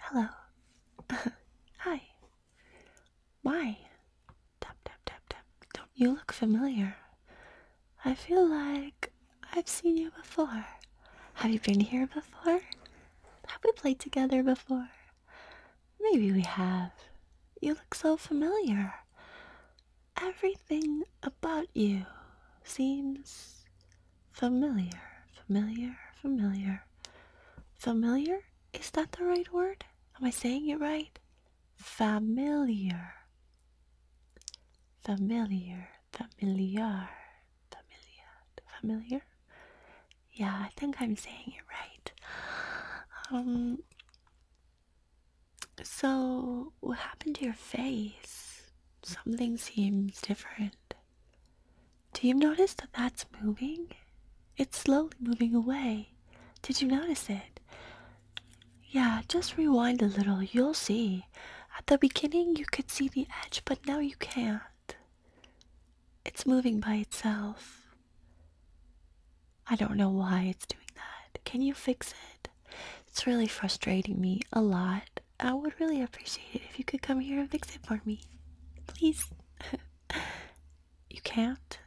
Hello. Hi. Why? Tap, tap, tap, tap. Don't you look familiar? I feel like I've seen you before. Have you been here before? Have we played together before? Maybe we have. You look so familiar. Everything about you seems familiar, familiar, familiar. Familiar? Is that the right word? Am I saying it right? Familiar. Familiar, familiar, familiar, familiar. Yeah, I think I'm saying it right. Um, so, what happened to your face? Something seems different. Do you notice that that's moving? It's slowly moving away. Did you notice it? Yeah, just rewind a little. You'll see. At the beginning, you could see the edge, but now you can't. It's moving by itself. I don't know why it's doing that. Can you fix it? It's really frustrating me a lot. I would really appreciate it if you could come here and fix it for me. Please. you can't?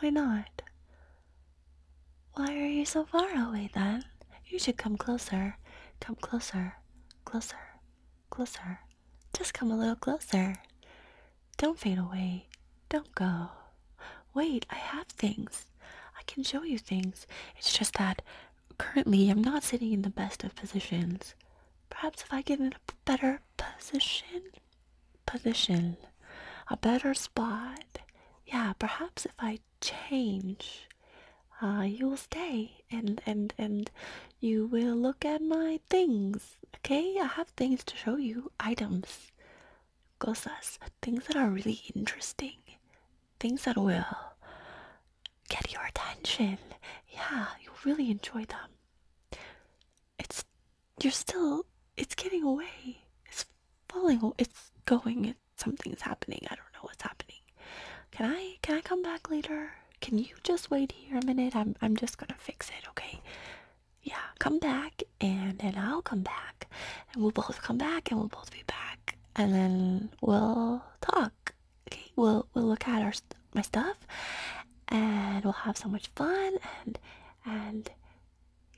Why not? Why are you so far away then? You should come closer. Come closer. Closer. Closer. Just come a little closer. Don't fade away. Don't go. Wait, I have things. I can show you things. It's just that currently I'm not sitting in the best of positions. Perhaps if I get in a better position, position, a better spot, yeah, perhaps if I change, uh, you'll stay and and and you will look at my things. Okay, I have things to show you, items, cosas, things that are really interesting things that will get your attention. Yeah, you'll really enjoy them. It's you're still it's getting away. It's falling it's going something's happening. I don't know what's happening. Can I can I come back later? Can you just wait here a minute? I'm I'm just gonna fix it, okay? Yeah, come back and then I'll come back and we'll both come back and we'll both be back and then we'll talk. Okay, we'll we'll look at our my stuff and we'll have so much fun and and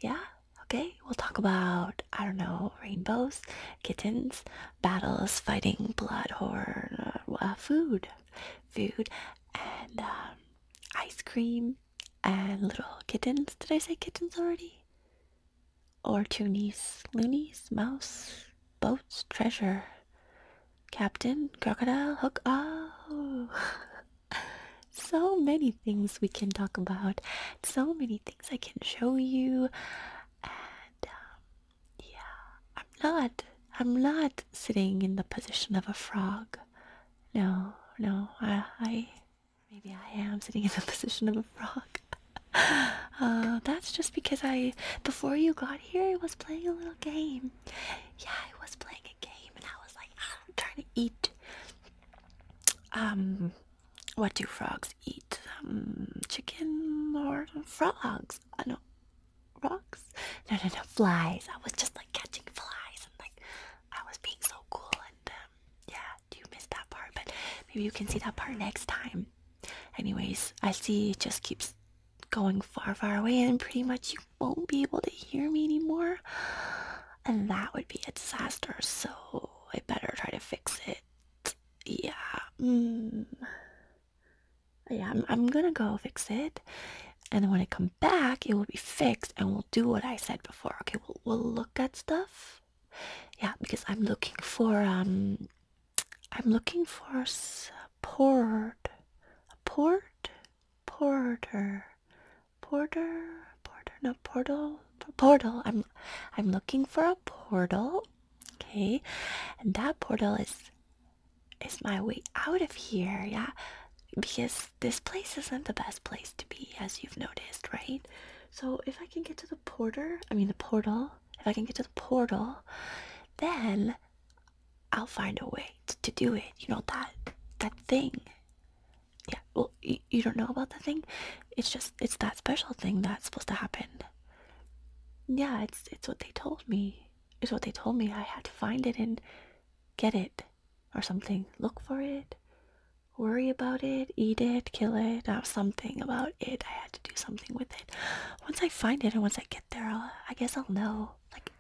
yeah, okay. We'll talk about I don't know, rainbows, kittens, battles, fighting, blood, horror, uh, food, food and um, ice cream and little kittens. Did I say kittens already? or Toonies, loonies, mouse, boats, treasure, captain, crocodile, hook. Oh, so many things we can talk about, so many things I can show you, and um, yeah, I'm not, I'm not sitting in the position of a frog. No, no, I, I, Maybe I am sitting in the position of a frog. Uh, that's just because I, before you got here, I was playing a little game. Yeah, I was playing a game, and I was like, ah, I'm trying to eat. Um, what do frogs eat? Um, chicken or frogs? Uh, no, frogs? No, no, no, flies. I was just like catching flies, and like I was being so cool and um, you missed that part, but maybe you can see that part next time. Anyways, I see it just keeps going far, far away, and pretty much you won't be able to hear me anymore, and that would be a disaster. So I better try to fix it. Yeah. Mm. Yeah, I'm, I'm gonna go fix it, and when I come back, it will be fixed and we'll do what I said before. Okay, we'll, we'll look at stuff. Yeah, because I'm looking for um I'm looking for support. A port porter porter porter no portal portal I'm I'm looking for a portal. Okay. And that portal is is my way out of here, yeah? Because this place isn't the best place to be, as you've noticed, right? So if I can get to the porter, I mean the portal, if I can get to the portal, then I'll find a way to, do it. You know that that thing. Yeah, well, you, you don't know about the thing. It's just it's that special thing that's supposed to happen. Yeah, it's it's what they told me. It's what they told me. I had to find it and get it or something. Look for it, worry about it, eat it, kill it, Have something about it. I had to do something with it. Once I find it and once I get there, i guess I'll know. Like,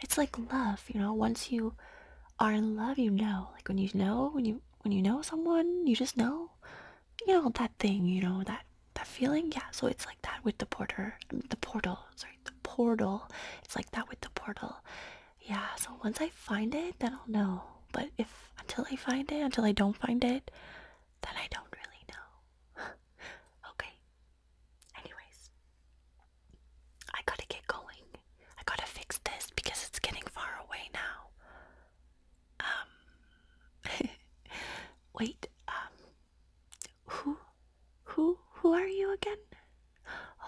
it's like love, you know. Once you are in love, you know. Like when you know, when you when you know someone, you just know. You know that thing, you know that that feeling. Yeah. So it's like that with the porter, the portal. Sorry, the portal. It's like that with the portal. Yeah, so once I find it, then I'll know. But if until I find it, until I don't find it, then I don't really know. okay. Anyways, I gotta get going. I gotta fix this because it's getting far away now. Um, wait, um, who, who, who are you again?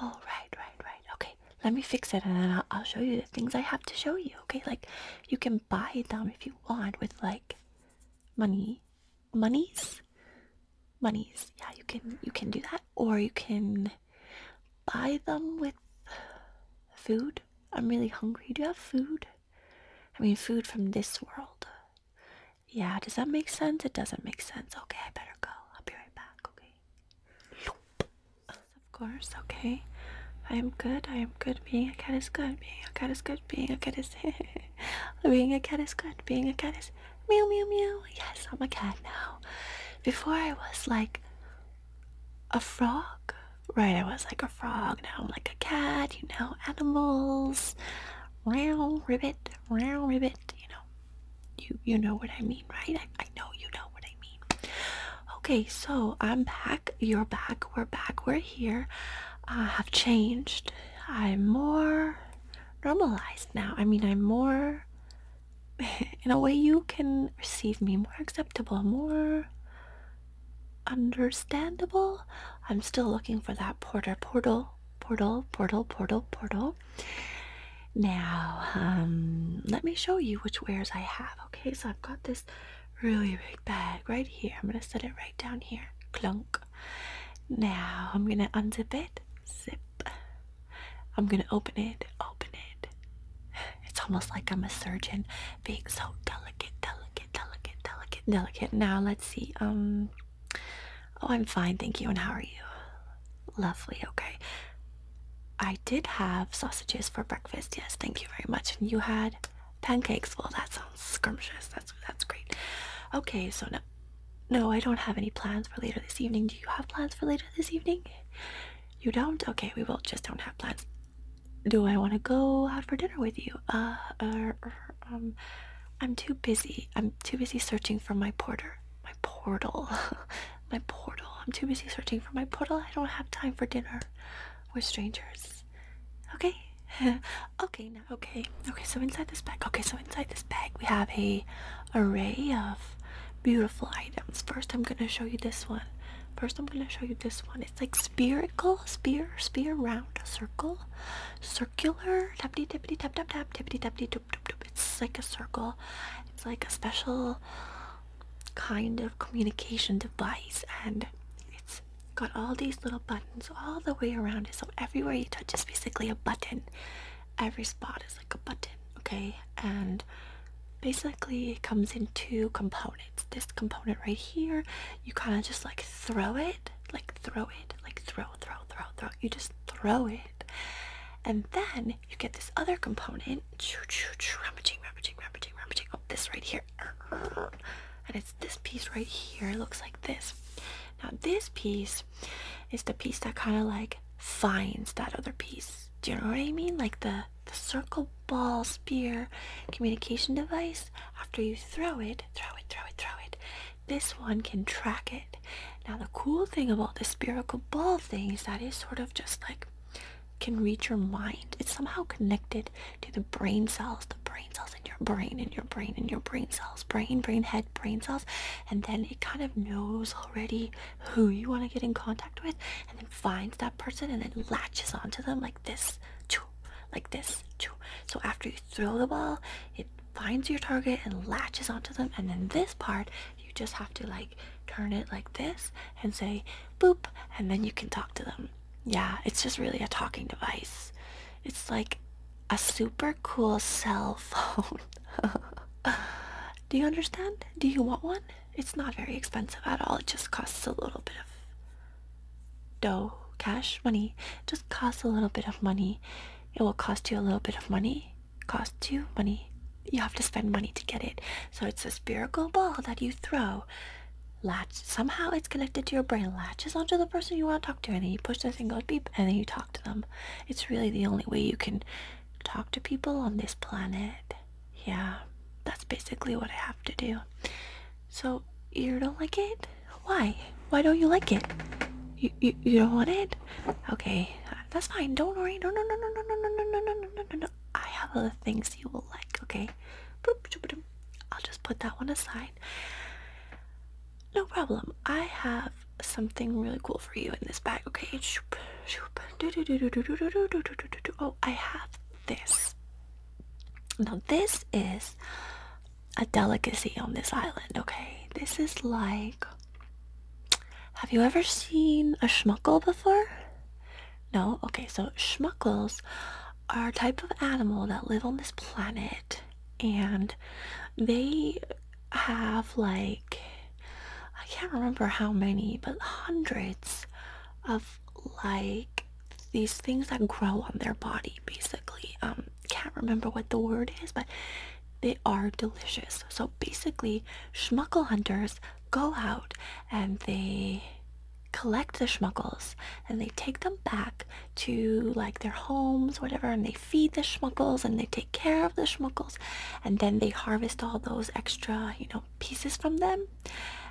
All oh, right, right, right, Okay, let me fix it and then I'll show you the things I have to show you. Okay, like you can buy them if you want with like money, monies, monies. Yeah, you can you can do that, or you can buy them with food. I'm really hungry. Do you have food? I mean, food from this world. Yeah, does that make sense? It doesn't make sense. Okay, I better go. I'll be right back, okay? Of course, okay. I am good. I am good. Being a cat is good. Being a cat is good. Being a cat is Being a cat is good. Being a cat is meow meow meow. Yes, I'm a cat now. Before I was like a frog. Right, I was like a frog. Now I'm like a cat, you know, animals. Round ribbit, round ribbit, you know you you know what I mean, right? I, know you know what I mean. Okay, so I'm back. You're back. We're back. We're here. I've changed. I'm more normalized now. I mean, I'm more. In a way, you can receive me more acceptable, more understandable. I'm still looking for that porter portal portal, portal, portal, portal, Now, um, let me show you which wares I have. Okay, so I've got this really big bag right here. I'm gonna set it right down here. Clunk. Now I'm gonna unzip it. Zip. I'm gonna open it. Open it. It's almost like I'm a surgeon being so delicate, delicate, delicate, delicate, delicate. Now let's see. Um Oh, I'm fine, thank you. And how are you? Lovely, okay. I did have sausages for breakfast. Yes, thank you very much. And you had pancakes. Well, that sounds scrumptious. That's that's great. Okay, so no, no, I don't have any plans for later this evening. Do you have plans for later this evening? You don't? Okay, we will just don't have plans. Do I want to go out for dinner with you? uh, er, er, um, i'm too busy i'm too busy searching for my porter my portal my portal i'm too busy searching for my portal i don't have time for dinner we're strangers okay okay now okay okay so inside this bag okay so inside this bag we have a array of beautiful items first i'm going to show you this one first i'm going to show you this one it's like spherical spear spear round circle circle circular tappity tappity tap tap tap tappity tappity tap tap it's like a circle it's like a special kind of communication device and it's got all these little buttons all the way around it so everywhere you touch is basically a button every spot is like a button okay and basically it comes in two components this component right here you kind of just like throw it like throw it, like throw, throw, throw, throw. You just throw it. And then you get this other component, choo, choo, rummaging, rummaging, rummaging, rummaging. Oh, this right here. And it's this piece right here. looks like this. Now this piece is the piece that kind of like finds that other piece. Do you know what I mean? Like the, the circle ball spear communication device. After you throw it, throw it, throw it, throw it. This one can track it. Now the cool thing about the spherical ball thing is that it's sort of just like can reach your mind. It's somehow connected to the brain cells, the brain cells in your brain, in your brain, in your brain cells, brain, brain, head, brain cells, and then it kind of knows already who you want to get in contact with, and then finds that person and then latches onto them like this, like this. So after you throw the ball, it finds your target and latches onto them. And then this part, you just have to like turn it like this and say boop, and then you can talk to them. Yeah, it's just really a talking device. It's like a super cool cell phone. Do you understand? Do you want one? It's not very expensive at all. It just costs a little bit of dough, cash, money. Just costs a little bit of money. It will cost you a little bit of money. Cost you money. You have to spend money to get it. So it's a spherical ball that you throw. Latch somehow it's connected to your brain. Latches onto the person you want to talk to, and then you push this and goes beep, and then you talk to them. It's really the only way you can talk to people on this planet. Yeah, that's basically what I have to do. So you don't like it? Why? Why don't you like it? You, you, you don't want it? Okay, that's fine. Don't worry. No, no, no, no, no, no, no, no, no, no, no, no, no. I have other things you will like, okay? I'll just put that one aside. No problem. I have something really cool for you in this bag, okay? Oh, I have this. Now, this is a delicacy on this island, okay? This is like. Have you ever seen a schmuckle before? No? Okay, so schmuckles are a type of animal that live on this planet and they have like. I can't remember how many, but hundreds of like these things that grow on their body basically um can't remember what the word is but they are delicious so basically schmuckle hunters go out and they collect the schmuckles and they take them back to like their homes whatever and they feed the schmuckles and they take care of the schmuckles and then they harvest all those extra you know pieces from them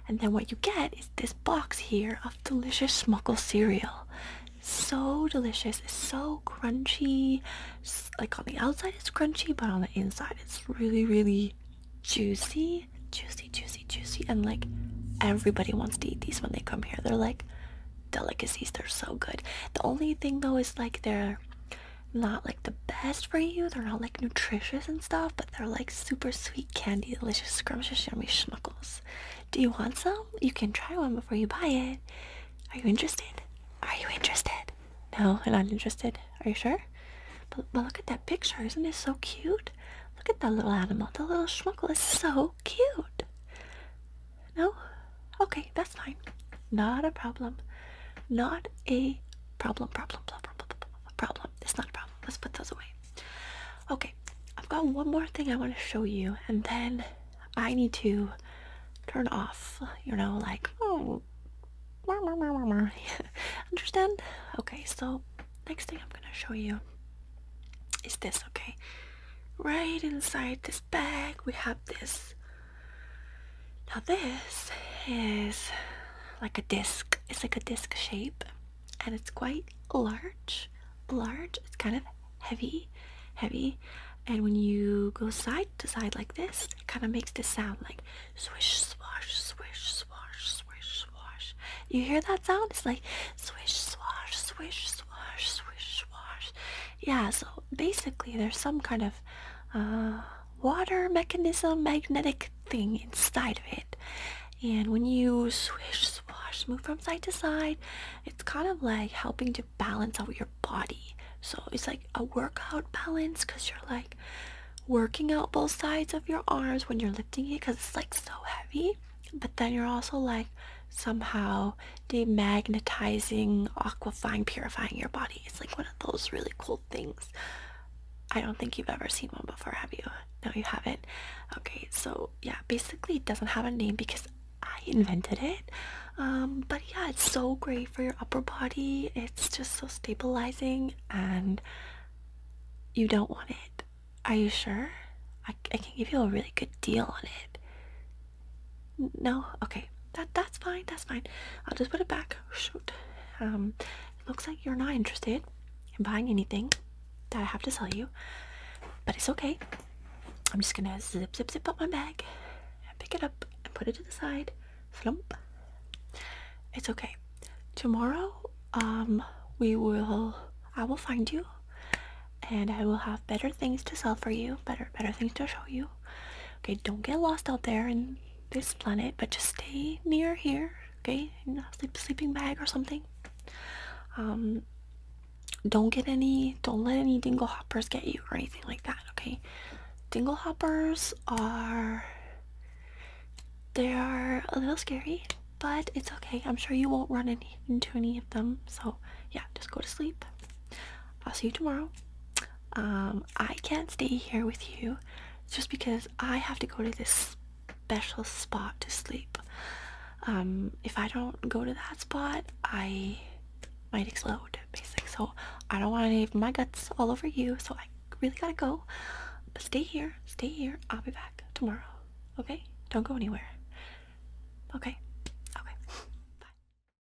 and then what you get is this box here of delicious Smuckle cereal. So delicious, so crunchy. like on the outside it's crunchy, but on the inside it's really, really juicy, juicy, juicy, juicy. And like everybody wants to eat these when they come here. They're like delicacies, they're so good. The only thing though is like they're not like the best for you, they're not like nutritious and and stuff, but they're like super sweet candy, delicious, scrumptious, yummy schmuckles. Do you want some? You can try one before you buy it. Are you interested? Are you interested? No, I'm not interested. Are you sure? But, but look at that picture. Isn't it so cute? Look at that little animal. The little schmuckle is so cute. No? Okay, that's fine. Not a problem. Not a problem, problem, problem, problem, problem, problem, it's not a problem. Let's put those away. Okay, I've got one more thing I want to show you, and then I need to turn off, you know, like, oh, understand? Okay, so next thing I'm going to show you is this, okay? Right inside this bag, we have this now this is like a disc. It's like a disc shape and it's quite large. Large. It's kind of heavy, heavy. And when you go side to side like this, it kind of makes this sound like swish, swash, swish, swash, swish, swash. You hear that sound? It's like swish, swash, swish, swash, swish, swash. Yeah, so basically there's some kind of uh, water mechanism magnetic thing inside of it and when you swish swash move from side to side it's kind of like helping to balance out your body so it's like a workout balance because you're like working out both sides of your arms when you're lifting it because it's like so heavy but then you're also like somehow demagnetizing aquifying purifying your body it's like one of those really cool things. I don't think you've ever seen one before, have you? No, you haven't. Okay, so yeah, basically it doesn't have a name because I invented it. Um, but yeah, it's so great for your upper body. It's just so stabilizing and you don't want it. Are you sure? I, I can give you a really good deal on it. No? Okay. That, that's fine. That's fine. I'll just put it back shoot, um, it looks like you're not interested in buying anything that I have to sell you, but it's okay. I'm just gonna zip, zip, zip up my bag, pick it up, and put it to the side. Slump. It's okay. Tomorrow, um, we will, I will find you, and I will have better things to sell for you, better, better things to show you. Okay, don't get lost out there and this planet, but just stay near here, okay? sleep, sleeping bag or something. Um, don't get any, don't let any dingle hoppers get you or anything like that, okay? Dingle hoppers are, they are a little scary, but it's okay. I'm sure you won't run into any of them. So yeah, just go to sleep. I'll see you tomorrow. Um, I can't stay here with you just because I have to go to this special spot to sleep. Um, if I don't go to that spot, I might explode, basically. So I don't want any of my guts all over you, so I really gotta go. But stay here, stay here. I'll be back tomorrow. Okay? Don't go anywhere. Okay. Okay. Bye.